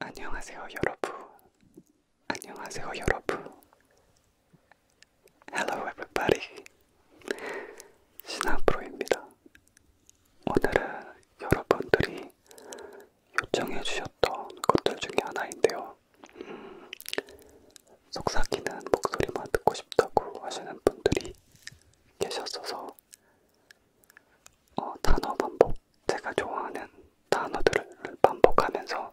안녕하세요, 여러분. 안녕하세요, 여러분. Hello, everybody. 신하프로입니다. 오늘은 여러분들이 요청해주셨던 것들 중에 하나인데요. 음, 속삭이는 목소리만 듣고 싶다고 하시는 분들이 계셨어서 어, 단어 반복. 제가 좋아하는 단어들을 반복하면서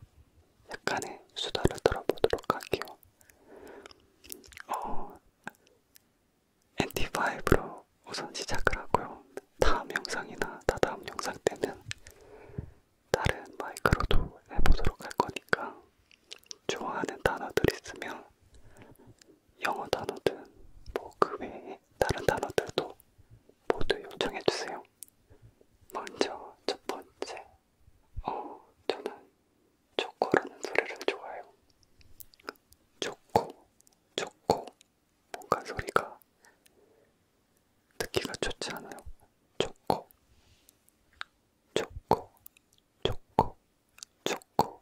약간의 수다를 들어보도록 할게요. 어, NT5로 우선 시작을 하고요. 다음 영상이나 다다음 영상 때는 다른 마이크로도 해보도록 할 거니까 좋아하는 단어들 있으면 영어 단어든 뭐그 외에 외에 다른 단어들도 모두 요청해주세요. 먼저 첫 번째, 어, 저는 초코라는 소리를 좋아해요. 초코, 초코, 뭔가 소리가 듣기가 좋지 않아요. 초코, 초코, 초코, 초코.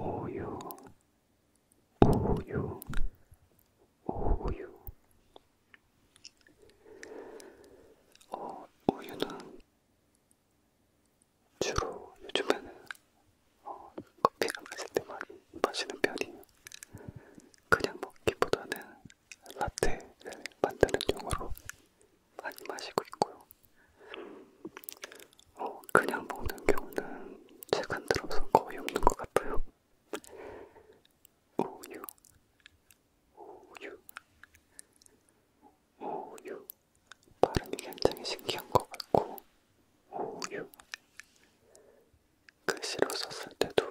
우유 우유 우유 어, 우유는 주로 요즘에는 어, 커피를 마실 때 많이 마시는 편이에요. 그냥 먹기보다는 라떼를 만드는 용으로 많이 마시고 있고요. 어, 그냥 먹는 경우는 최근 들어서 거의 없는 것 같아요. 우유, 우유, 우유. 발음이 굉장히 신기한 것 같고, 우유. 글씨로 썼을 때도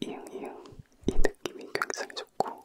이응이응 이 느낌이 굉장히 좋고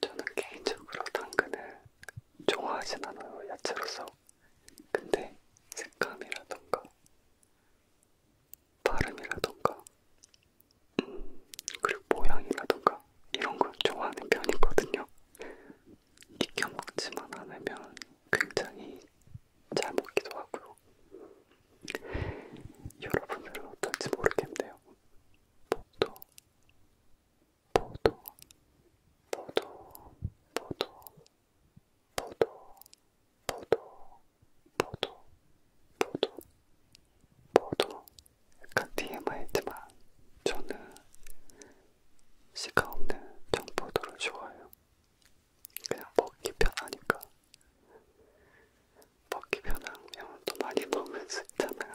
저는 개인적으로 당근을 좋아하진 않아요, 야채로서. 근데 색감이라던가 발음이라던가 음, 그리고 모양이라던가 이런 걸 좋아하는 편이거든요. 익혀 먹지만 않으면 굉장히 잘 먹기도 하고요. 여러분들은 어떨지 모르겠네요. 목도 보도 보도 보도 보도 보도 보도 보도 보도 약간 DMI지만 저는 시가 없는 정보도를 좋아해요. 그냥 먹기 편하니까 먹기 편하면 또 많이 먹을 수 있잖아요.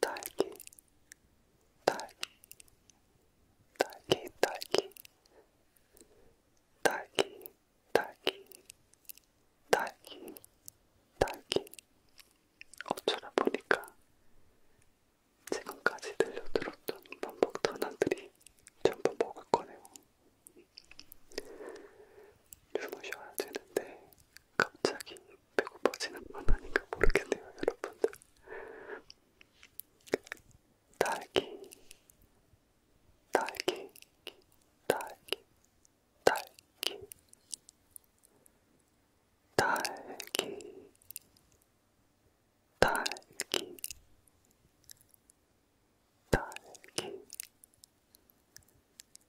딸기, 딸기, 딸기, 딸기, 딸기, 딸기, 딸기, 딸기. 어쩌다 보니까 지금까지 들려들었던 반복 단어들이 전부 먹을 거네요. 주무셔야 되는데 갑자기 배고파지는 건 아닌가 모르겠네요, 여러분들. 딸기, 딸기, 딸기, 딸기, 딸기, 딸기, 딸기.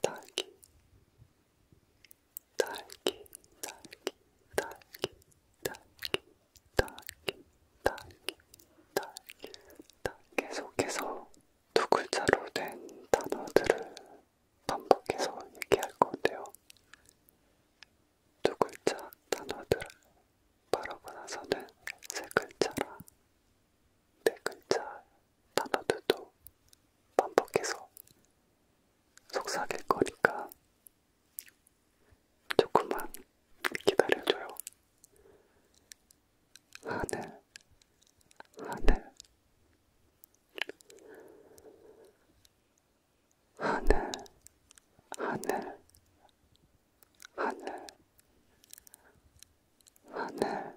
딸기 딸기 딸기 딸기 딸기 딸기 딸기 딸기 딸기 계속해서 두 글자로 된 단어들을 반복해서 얘기할 건데요. 두 글자 단어들을 바라고 나서는 세 글자라 네 글자 단어들도 반복해서 속삭일 거니까 조금만 기다려줘요. 하늘, 하늘, 하늘, 하늘, 하늘, 하늘,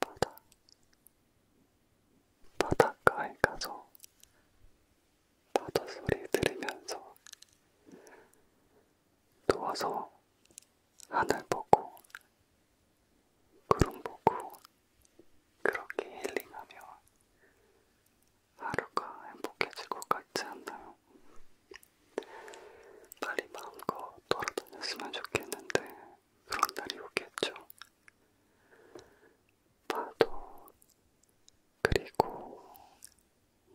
바다 바닷가에 가서 바다 소리 들으면서 누워서 하늘 보고 구름 보고 그렇게 힐링하며 하루가 행복해질 것 같지 않나요? 빨리 마음껏 돌아다녔으면 좋겠는데 그런 날이 오겠죠. 파도 그리고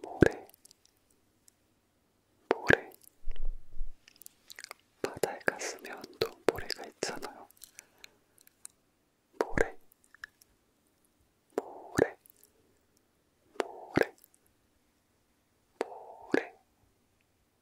모래 모래 바다에 갔으면 또 모래가 있잖아요. 모래 모래 모래 모래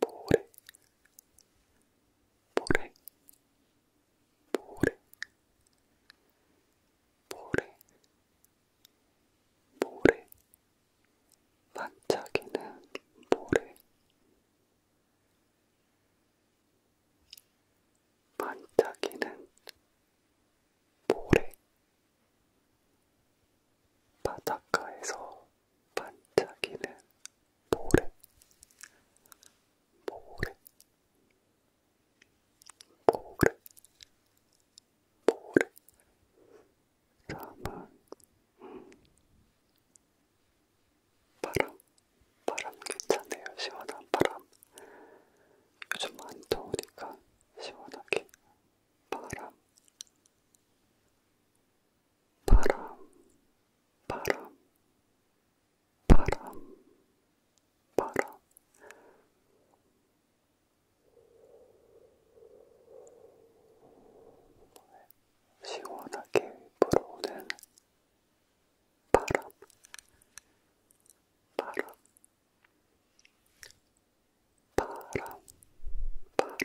모래 모래 모래 모래 모래 반짝이는 모래 반짝이는 모래 바닷가에서 반짝이는 모래 모래 모래 모래 사막 음. 바람 바람 괜찮네요 시원한 바람 요즘 안 더우니까 시원하게 바람 바람 바람, 바람, 바람. 시원하게 불어오는 바람, 바람, 바람, 바람, 바람,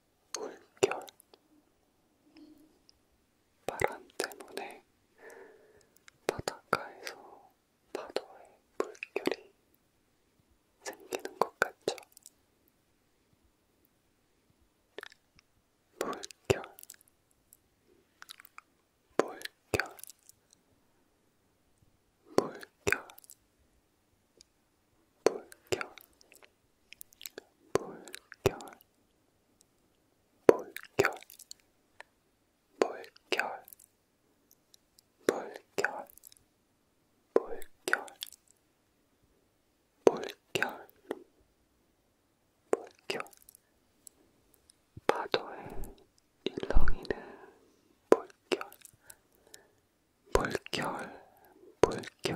물결 바람 때문에 바닷가에서 파도에 물결이 생기는 것 같죠? 물결 물결 물결 물결 물결 물결 물결 물결 물결 물결 물결 파도에 일렁이는 물결 물결 물결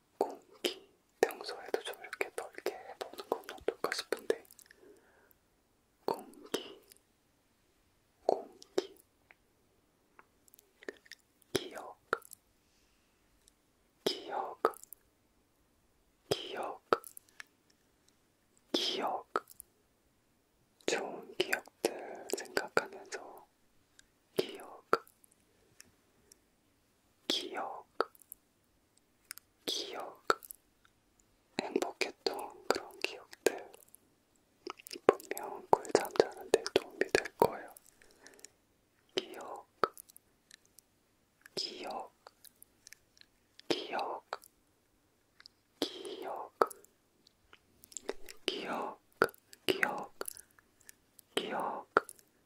공기 평소에도 좀 이렇게 넓게 해보는 건 어떨까 싶은데 공기 공기 기억 기억 기억 기억 좋은 기억들 생각하면서 기억, 기억, 기억, 행복했던 그런 기억들 분명 꿀잠 그 자는데 도움이 될 거예요. 기억, 기억, 기억, 기억, 기억, 기억, 기억, 기억,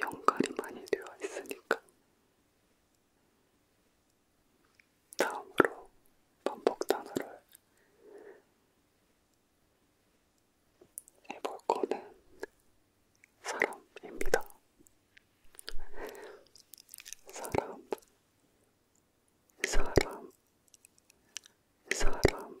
연관이 많이 되어 있으니까. 다음으로 반복 단어를 해볼 거는 사람입니다. 사람, 사람, 사람,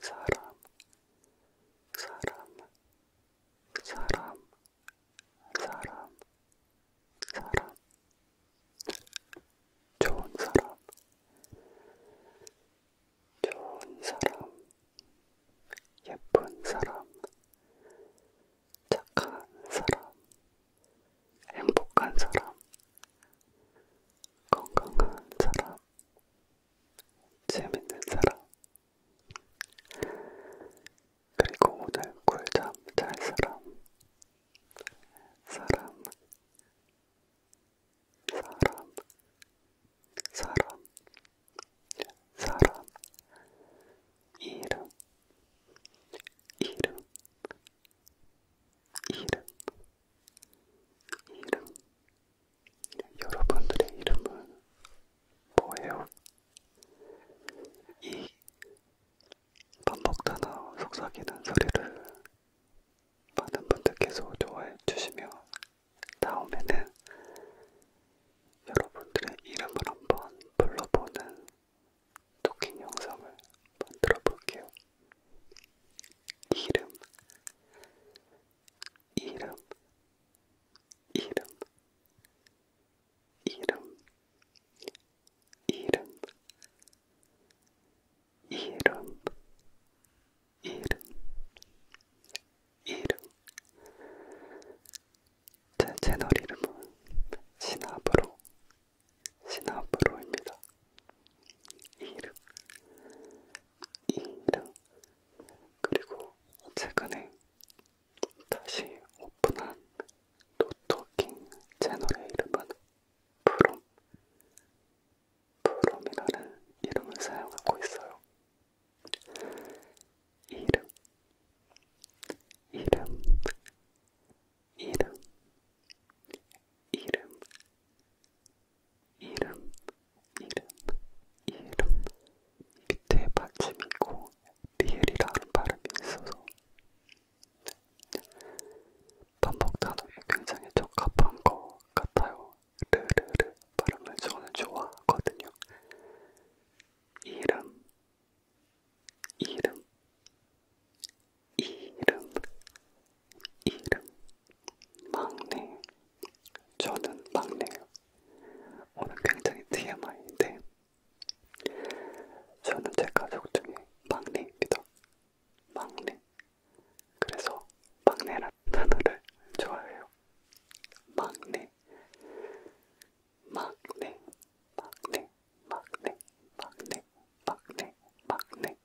사람, 사람, 사람, 사람, 사람, 좋은 사람, 좋은 사람, 예쁜 사람, 착한 사람, 행복한 사람, 건강한 사람, 재밌는 사람. 그리고 오늘 꿀잠 잘 사람. 사람. 사람. 사람. 사람. 이름. 이름. 이름. 이름 여러분들의 이름은 뭐예요? 이 반복되나 속삭이는 소리를 많은 분들께서 좋아해 주시면 다음에는 여러분들의 이름을 한번 불러보는 토킹 영상을 만들어 볼게요. 이름 이름 이름 이름 이름 이름 이름 이름 제 채널 이름은 신압으로 신압으로입니다 이름 이름 그리고 최근에 다시 오픈한 노토킹 채널의 이름은 프롬 프롬이라는 이름을 사용하고 있어요. 이름 이름 이름 이름 이름, 이름, 이름 밑에 받침이고 리엘이라는 발음이 있어서 반복 단어에 굉장히 적합한 것 같아요. 르르르 발음을 저는 좋아하거든요. 이름, 이름, 이름, 이름, 막내. 저는 막내예요. 오늘 굉장히 TMI인데, 저는 제 가족 중에 막내입니다. 막내. 그래서 막내라는 단어를 좋아해요. 막내. 막내, 막내, 막내, 막내, 막내, 막내, 막내,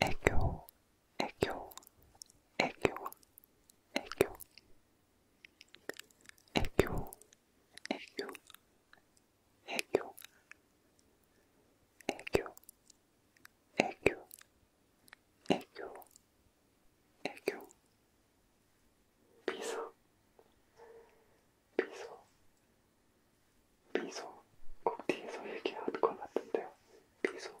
애교, 애교, 애교, 애교, 애교, 애교, 애교, 애교, 애교, 애교, 애교, 미소, 미소, 미소. 꼭 뒤에서 얘기하는 것 같은데요. 미소,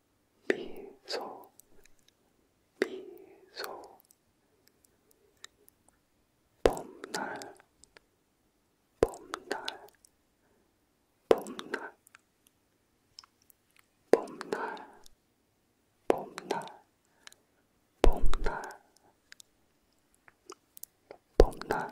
미소 미소 봄날 봄날 봄날 봄날 봄날 봄날 봄날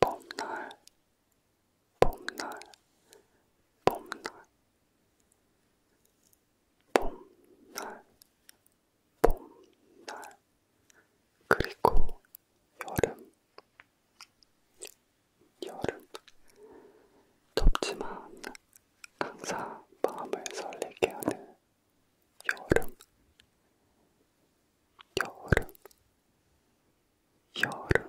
봄날 봄날 봄날 봄날 봄날 그리고 여름 여름 덥지만 항상 마음을 설레게 하는 여름 여름 여름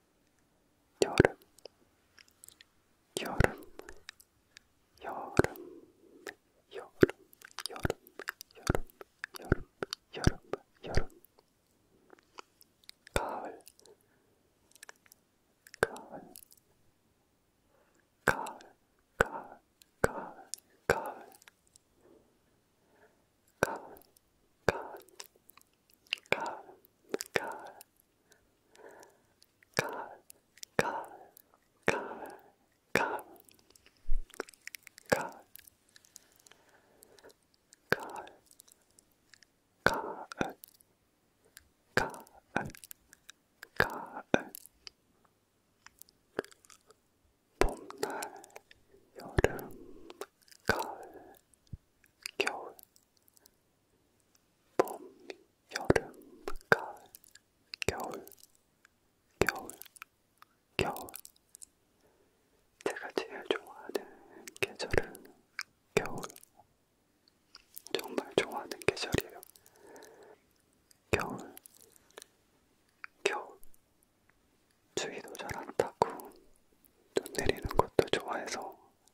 여름, 여름, 여름, 여름, 여름, 여름, 여름, 여름, 여름, 가을, 가을, 가을, 가을, 가을, 가을, 가을, 가을, 가을, 가, 가, 가, 가, 가, 가, 가, 가, 가을, 가을, 가을. 봄날, 여름, 가을, 겨울, 봄, 여름, 가을, 겨울, 겨울, 겨울. 제가 제일 좋아하는 계절은 겨울. 정말 좋아하는 계절이에요. 겨울, 겨울. 추위도 잘안 타고, 눈 내리는 것도 좋아해서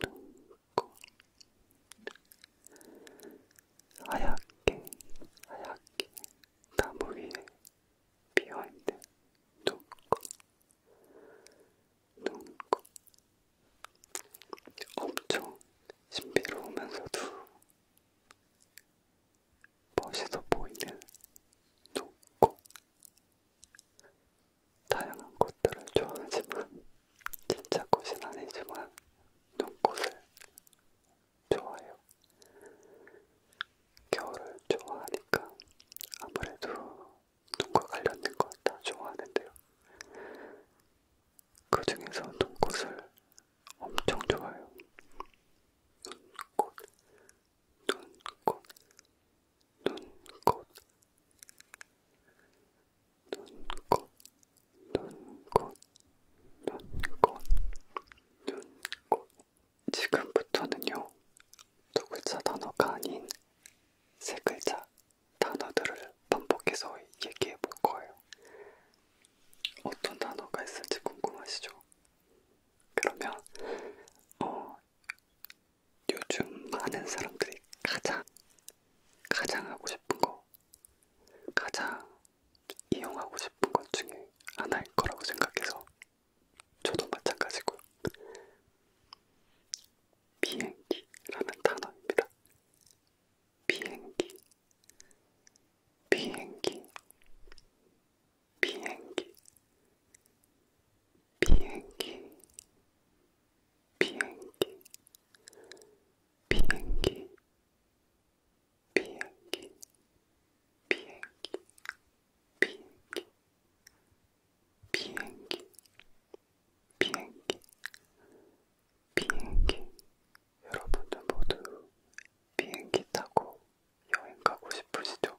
눈곱 하얗게 하얗게 나무 위에 비어있는 눈곱 눈곱 엄청 신비로우면서도 멋있어 보이는 눈곱 다양한 꽃들을 좋아하지만 진짜 꽃은 아니지만 눈꽃을 좋아해요. 겨울을 좋아하니까 아무래도 눈과 관련된 것다 좋아하는데요. 그 중에서 눈꽃을 엄청 좋아해요. 눈꽃, 눈꽃 눈꽃 눈꽃 눈꽃 눈꽃 눈꽃 지금부터는요 두 글자 단어가 아닌 세 글자 단어들을 반복해서 얘기해 볼 거예요. 어떤 단어가 있을지 궁금하시죠? 그러면 어, 요즘 많은 사람들이 가장 가장 하고 싶은 거 가장 이용하고 싶은 것 중에 하나일 거라고 생각해서 저도 마찬가지고요. 비행기라는 단어입니다. 비행기, 비행기, 비행기, 비행기 비행기 비행기 비행기 비행기 비행기 비행기 비행기 비행기 여러분들 모두 비행기 타고 여행 가고 싶으시죠?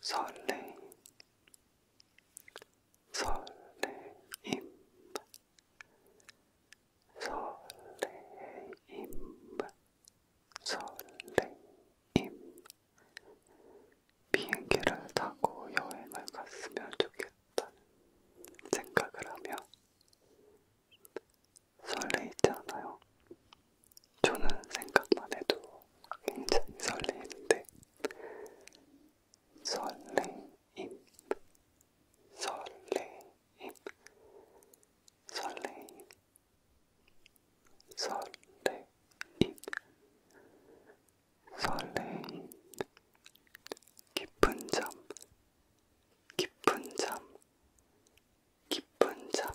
설레임 설레임 설레임 설레임 비행기를 타고 여행을 갔으면 좋겠다는 생각을 하며 설레있지 않아요? 저는 생각만 해도 굉장히 설레는데 설레임, 설레임, 설레임, 설레임, 설레임, 깊은 잠, 깊은 잠, 깊은 잠,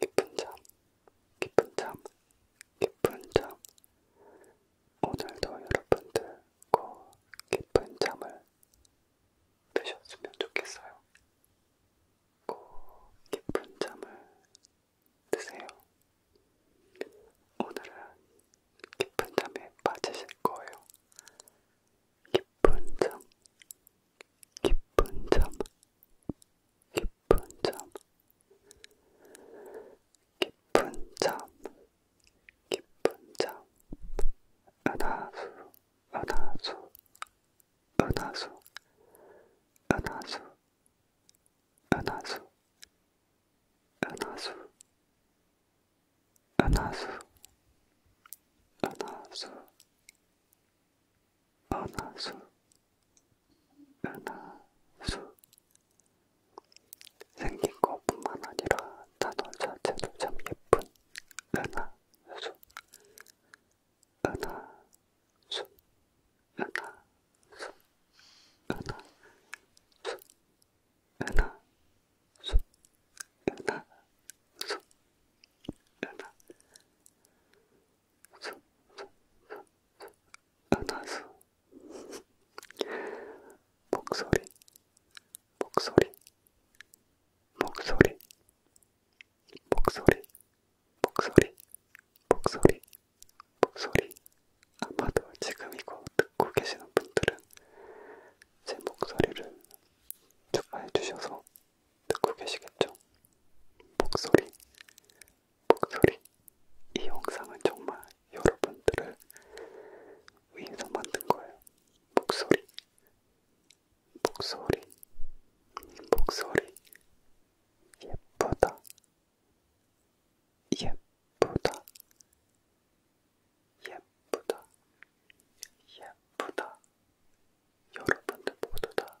깊은 잠, 깊은 잠, 깊은 잠. 오늘도 여러분들 꼭 깊은 잠을 드셨으면 좋겠어요. 꼭 깊은 잠을 드세요. 오늘은 깊은 잠에 빠지실 거예요. 깊은 잠, 깊은 잠, 깊은 깊은 잠, 깊은 잠, 깊은 잠. 은하수, 은하수, 은하수, 은하수, 은하수, 은하수, 은하수, 은하수. 은하수 은하수 생긴 것뿐만 아니라 단어 자체도 참 예쁜 은하수 은하수 은하수 은하수 은하수 은하수 은하수 은하수 목소리 목소리 목소리 목소리 목소리 목소리 목소리 아마도 지금 이거 듣고 계시는 분들은 제 목소리를 좋아해 주셔서 듣고 계시겠죠? 목소리 그 소리. 이 영상은 정말 여러분들을 위해서 만든 거예요. 목소리, 목소리, 목소리. 예쁘다, 예쁘다, 예쁘다, 예쁘다. 여러분들 모두 다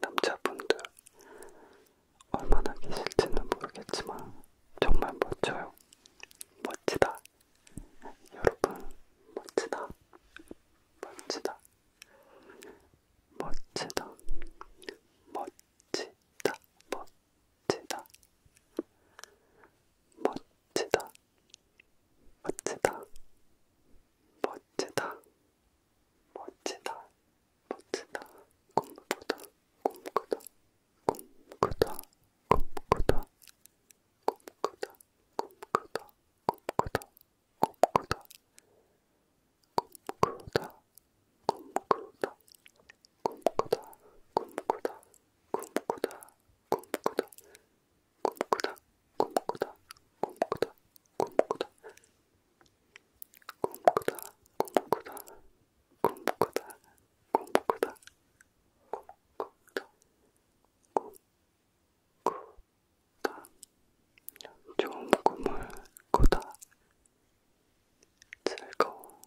남자분들 얼마나 계실지는 모르겠지만 정말 멋져요. 멋지다. 여러분, 멋지다. 멋지다. 멋지다. 멋지다. 멋지다. 멋지다. 멋지다. 멋지다. 멋지다. 멋지다, 멋지다, 꿈꾸다, 꿈꾸다, 꿈꾸다, 꿈꾸다, 꿈꾸다, 꿈꾸다, 꿈꾸다, 꿈꾸다, 꿈꾸다, 꿈꾸다, 꿈꾸다, 꿈꾸다, 꿈꾸다, 꿈꾸다, 꿈꾸다, 꿈꾸다, 꿈꾸다, 꿈꾸다, 꿈꾸다 꿈꾸다 꿈꾸다 꿈꾸다 꿈꾸다 꿈꾸다 좋은 꿈을 꾸다 즐거운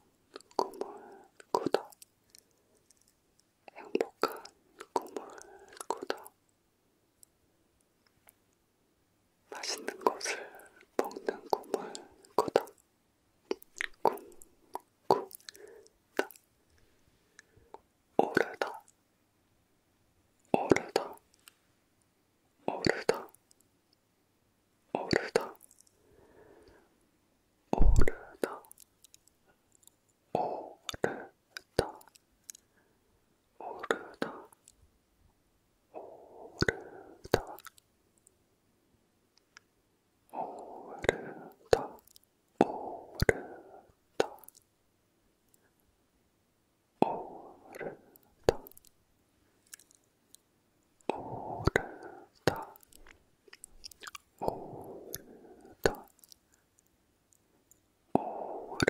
꿈을 꾸다 행복한 꿈을 꾸다 맛있는 것을 먹는 꿈을 꾸다. 꿈, 꾸다. 오르다. 오르다. 오르다. 오르다. 오르다. 오르다. 오르다. 오르다. 오르다 오르다 오르다 오르다 오르다 오르다 오르다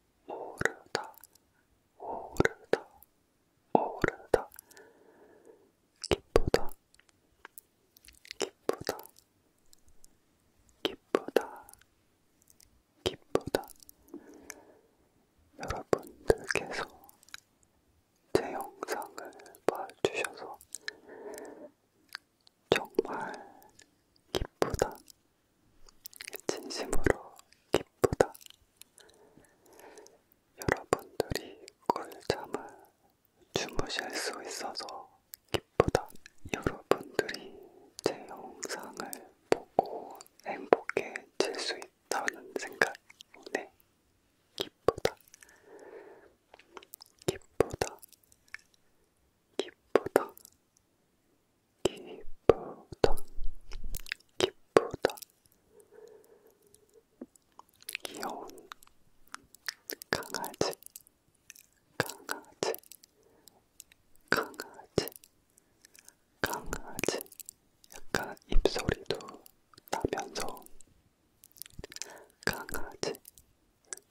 오르다 오르다 오르다 기쁘다 기쁘다 기쁘다 기쁘다 여러분들께서 제 영상을 봐주셔서 정말 기쁘다 진심으로 기쁘다. 여러분들이 꿀잠을 주무실 수 있어서 기쁘다. 여러분들이 제 영상을 보고 행복해질 수 있다는 생각에 네. 기쁘다. 기쁘다. 기쁘다. 기쁘다. 기쁘던 기쁘던 귀여운 강아지 강아지 강아지 강아지 약간 입소리도 나면서 강아지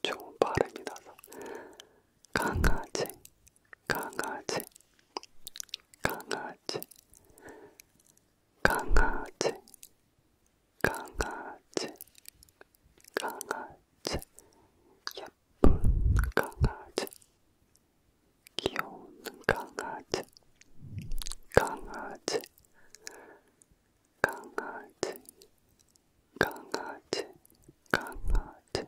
좋은 발음이 나서 강아지 강아지 강아지 강아지 강아지 강아지 예쁜 강아지 귀여운 강아지 강아지 강아지 강아지 강아지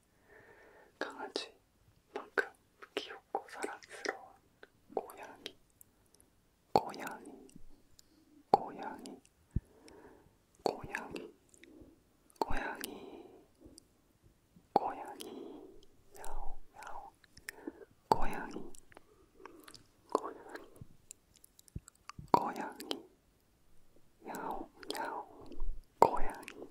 강아지만큼 귀엽고 사랑스러운 고양이, 고양이, 고양이, 고양이, 고양이, 고양이, 야옹 야옹, 고양이, 고양이, 고양이, 야옹 야옹, 고양이.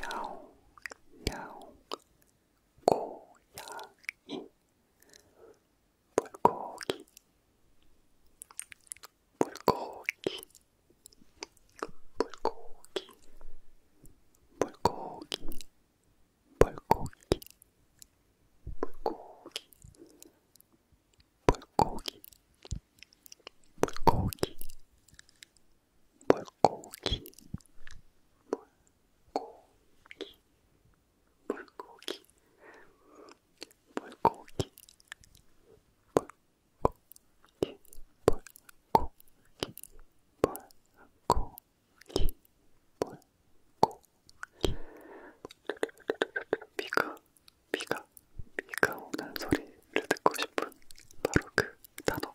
야옹 야옹 고양이 물고기 물고기 물고기 물고기 물고기 물고기 물고기 물고기 물고기 물고기 물고기 물고기 물고기 물고기 물고기 물고기 비가 비가 비가 오는 소리를 듣고 싶은 바로 그 단어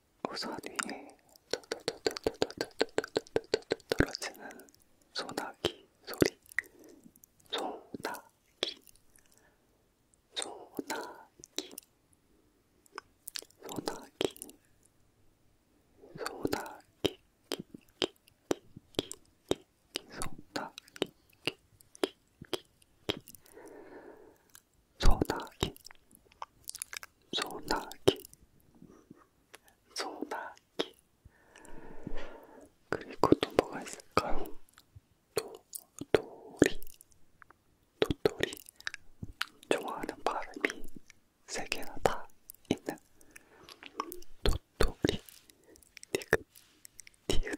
우선 위에 떨어지는 소나기 소리 소나기 소나기 소나기 소나기 소나기 소나기 소나기 소나기 소나기 그리고 또 뭐가 있을까요? 도토리 도토리 좋아하는 발음이 세 개나 다 있는 도토리 디귿 디귿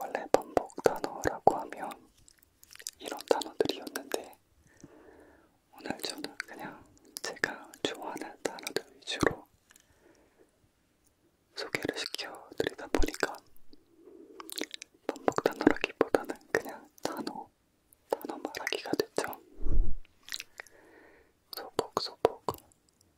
원래 반복 단어라고 하면 이런 단어들이었는데 오늘 저는 그냥 제가 좋아하는 단어들 위주로 소개를 시켜드리다 보니까 반복 단어라기보다는 그냥 단어, 단어 말하기가 됐죠. 소복소복,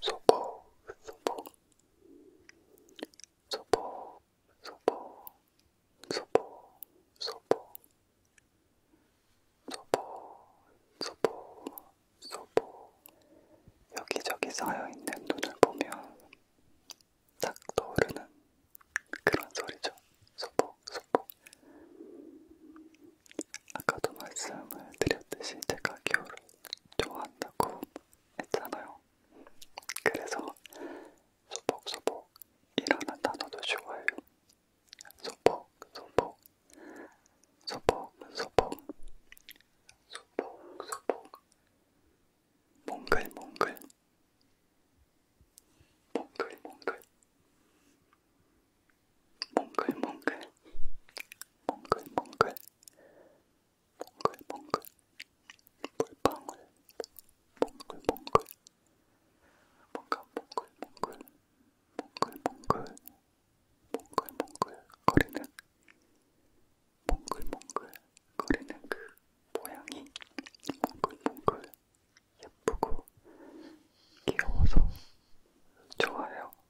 소복, 소복, 소복, 소복, 소복, 소복, 소복, 소복, 소복. 여기저기 쌓여있는 눈을 보면 딱 떠오르는 그런 소리죠. 소복, 소복. 아까도 말씀을 드렸듯이 제가 겨울을 좋아한다고 했잖아요. 그래서 소복소복이라는 단어도 좋아해요. 소복소복, 소복소복, 소복소복, 몽글몽글, 몽글몽글, 몽글몽글, 몽글몽글. 몽글몽글 몽글몽글 물방울 몽글몽글 뭔가 몽글몽글 몽글몽글 몽글몽글 거리는 몽글몽글 거리는 그 모양이 몽글몽글 예쁘고 귀여워서 좋아요.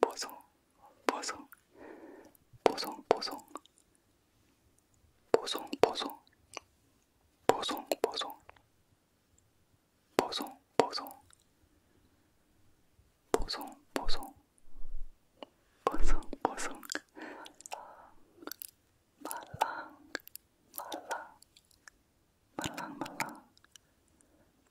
보송 보송 보송 보송 보송 보송 보송 보송 보송 보송 보송 보송 보송 보송 말랑 말랑 말랑 말랑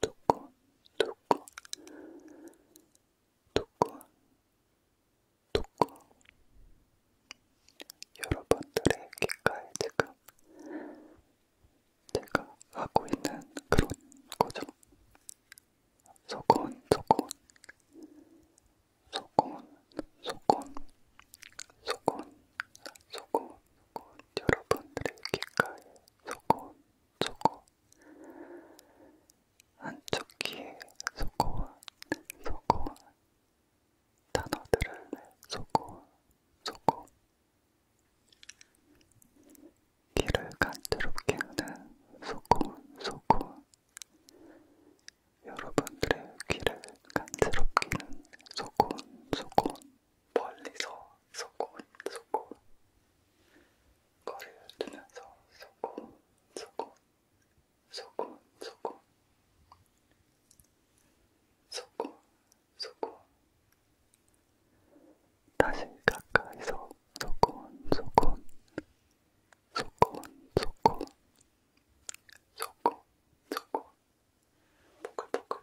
두꺼, 두꺼, 두꺼, 두꺼. 여러분들의 귓가에 지금 제가 하고 있는 그런 거죠. 소곤, 소곤, 소곤, 소곤, 소곤, 소곤, 소곤. 여러분들의 귓가에 소곤. 저거 한쪽 귀에 소고운 소고운 단어들을 소고운 소고 귀를 간지럽게 하는 소고운 소고운 여러분들의 귀를 간지럽게 하는 소고운 소고운 멀리서 쏘고 쏘고 거리를 두면서 쏘고 쏘고 쏘고 쏘고 쏘고 쏘고 다시 가까이서 쏘고 쏘고 쏘고 쏘고 쏘고 쏘고 보글보글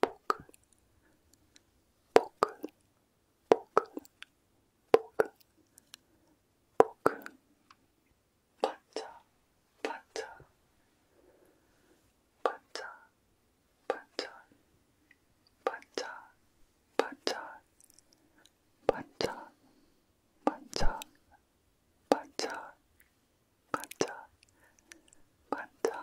보그 보그 보그 보그 보그 반짝 반짝 반짝 반짝 반짝 반짝 반짝 반짝 반짝 반짝 반짝 반짝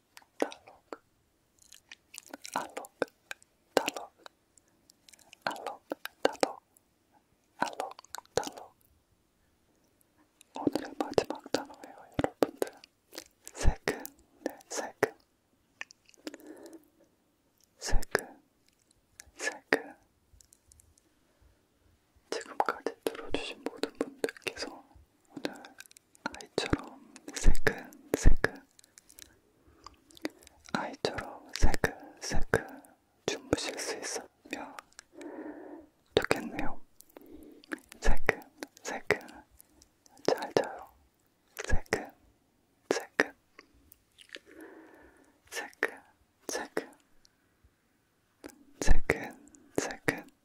달록 알록 달록 알록 달록 알록 달록 오늘의 마지막 단어예요 여러분들 세근 네 세근 세근 세근 지금까지 들어주신 모든 분들께서 오늘 아이처럼 새근새근 아이처럼 새근새근 주무실 수 있었으면 좋겠네요. 새근새근 잘 자요. 새근새근 새근새근 새근새근